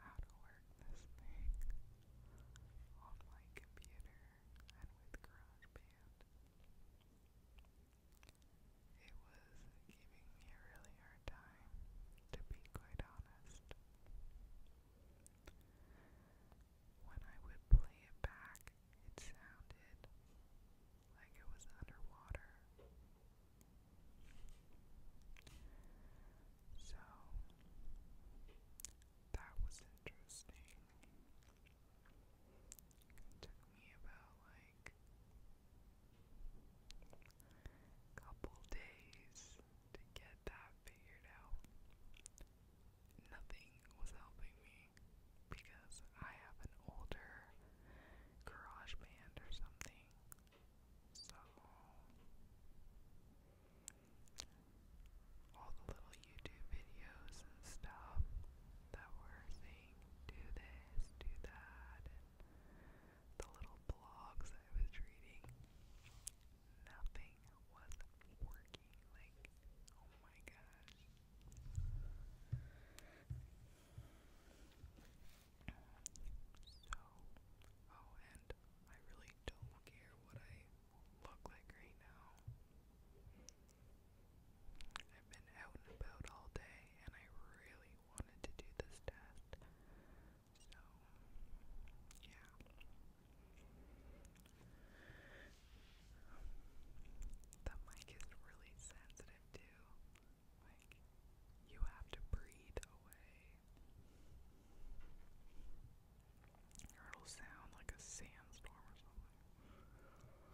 how to work this thing on computer and with GarageBand. It was giving me a really hard time, to be quite honest. When I would play it back, it sounded like it was underwater. So that was interesting. took me about like a couple days to get that figured out. Nothing was helping me because I have an older garage or something so all the little YouTube videos and stuff that were saying do this, do that, and the little blogs I was reading, nothing was working. Like, oh my gosh. So, oh, and I really don't care what I look like right now. I've been out and about all day, and I really wanted to do this test. So, yeah. The mic is really sensitive too. Like, you have to breathe away. it'll sound like a sandstorm or something.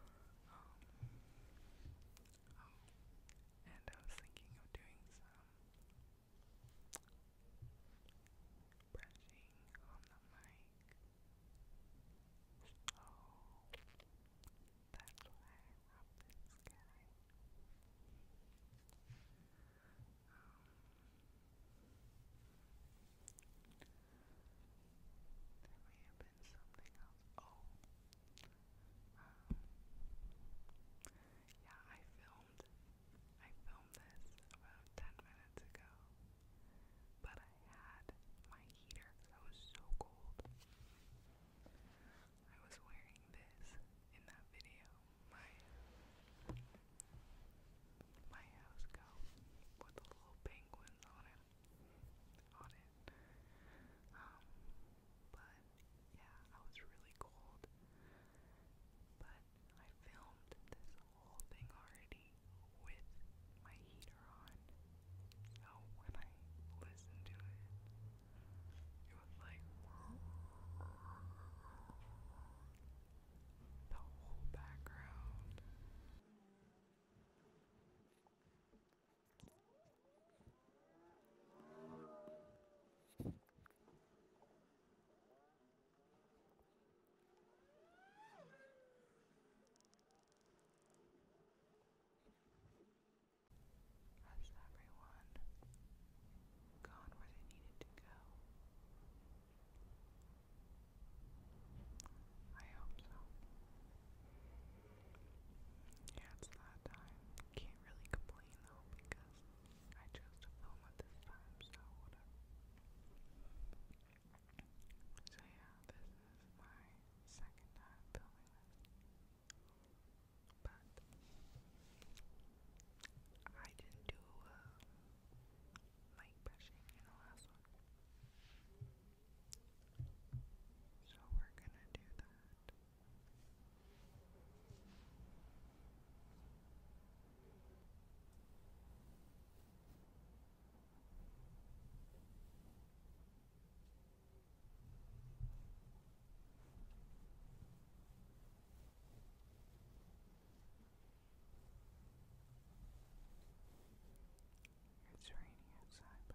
Um, oh, and I was thinking of doing some brushing on the mic. Oh, that fly up the sky. Um, there may have been something else. Oh, yeah, I filmed. I filmed this about ten minutes ago, but I had my heater because was so cold. I was wearing this in that video. My my house coat with the little penguins on it. On it. Um, but yeah, I was really cold. But I filmed this whole thing already with my heat later on. So when I listened to it, it was like the whole background. Hushed everyone, gone where they needed to go. I hope so. Yeah, it's that time. Can't really complain though because I chose to film at this time, so whatever. So yeah, this is my second time filming but I didn't do light uh, brushing in the last one, so we're gonna do that. It's raining outside, by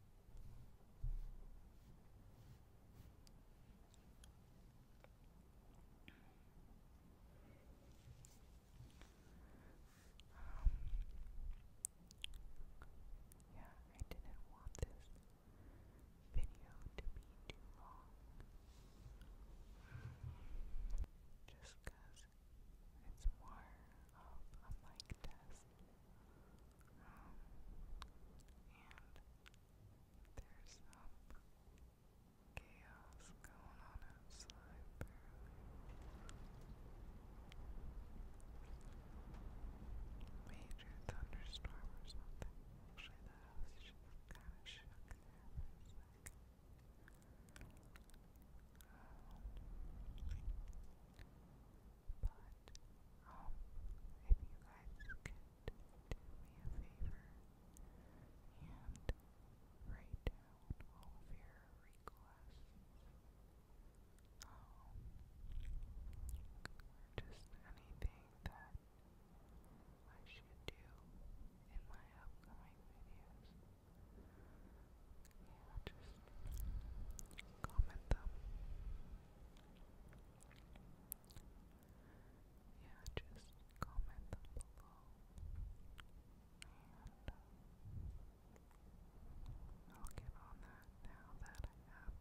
Um, yeah, I didn't want this video to be too long. Just because it's more of a mic test um, and there's some chaos going on outside, Major thunderstorm or something. Actually, the house just kind of shook but, um, if you guys could do me a favor and write down all of your requests, um, or just anything that I should do in my upcoming videos. Yeah, just comment them yeah, just comment below. And I'll get on that now that I have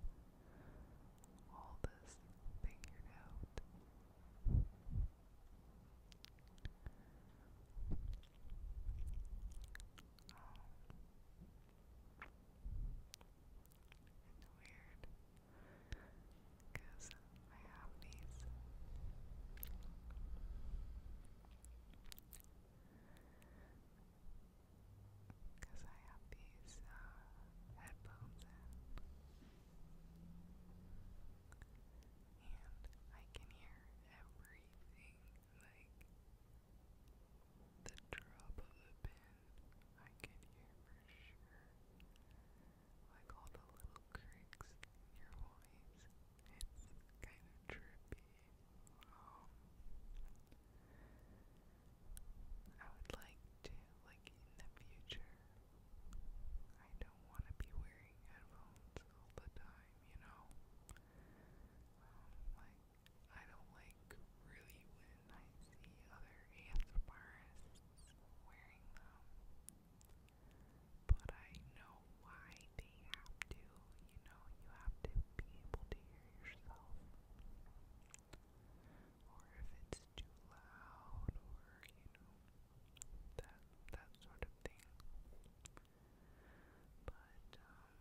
all this figured out. It's weird because I have these because I have these uh, headphones and I can hear everything like the drop of the pin I can hear for sure. Like all the little creaks in your voice. It's kind of trippy. Um, I would like to, like in the future, I don't want to be wearing headphones all the time, you know? Um, like, I don't like really when I see other ASMRists wearing them. But I know why they have to, you know, you have to be able to hear yourself. Or if it's too loud or, you know, that that sort of thing. But, um,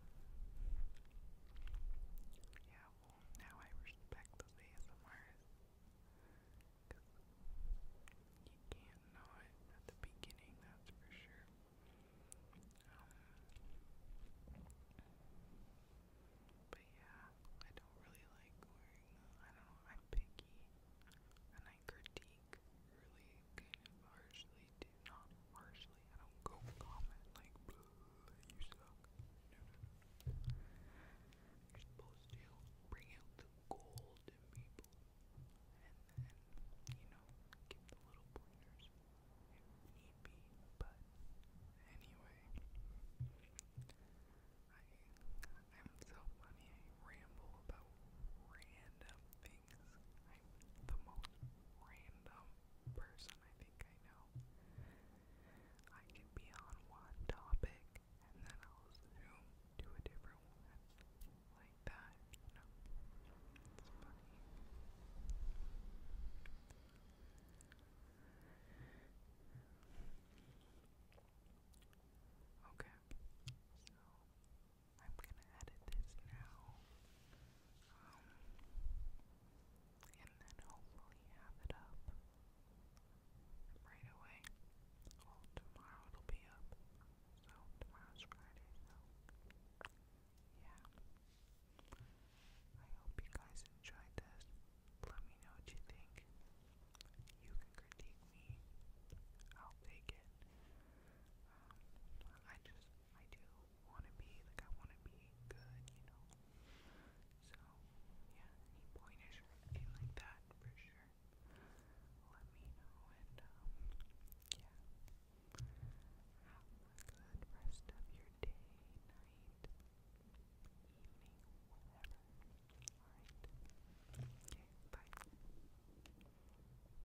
yeah, well, now I respect the ASMRs. Because you can't know it at the beginning, that's for sure. Um, but yeah, I don't really like I don't I'm picky. And I critique really kind of harshly did not harshly. I don't go comment like, you suck. You're supposed to bring out the gold people and then, you know, give the little pointers need be. But anyway, I, I'm so funny. ramble about random things things. I'm the most random person I think I know. I can be on one topic and then I'll zoom to a different one. Like that, you know. It's funny. Okay, I'm gonna edit this now. Um, and then hopefully have it up right away. Well, tomorrow it'll be up. So, tomorrow's Friday, so yeah. I hope you guys enjoyed this. Let me know what you think. You can critique me. I'll take it. Um, I just I do want to be, like, I want to be good, you know? So, yeah, any pointers or anything like that, for sure, let me know, and, um, yeah, have a good rest of your day, night, evening, whatever, alright? Okay, bye.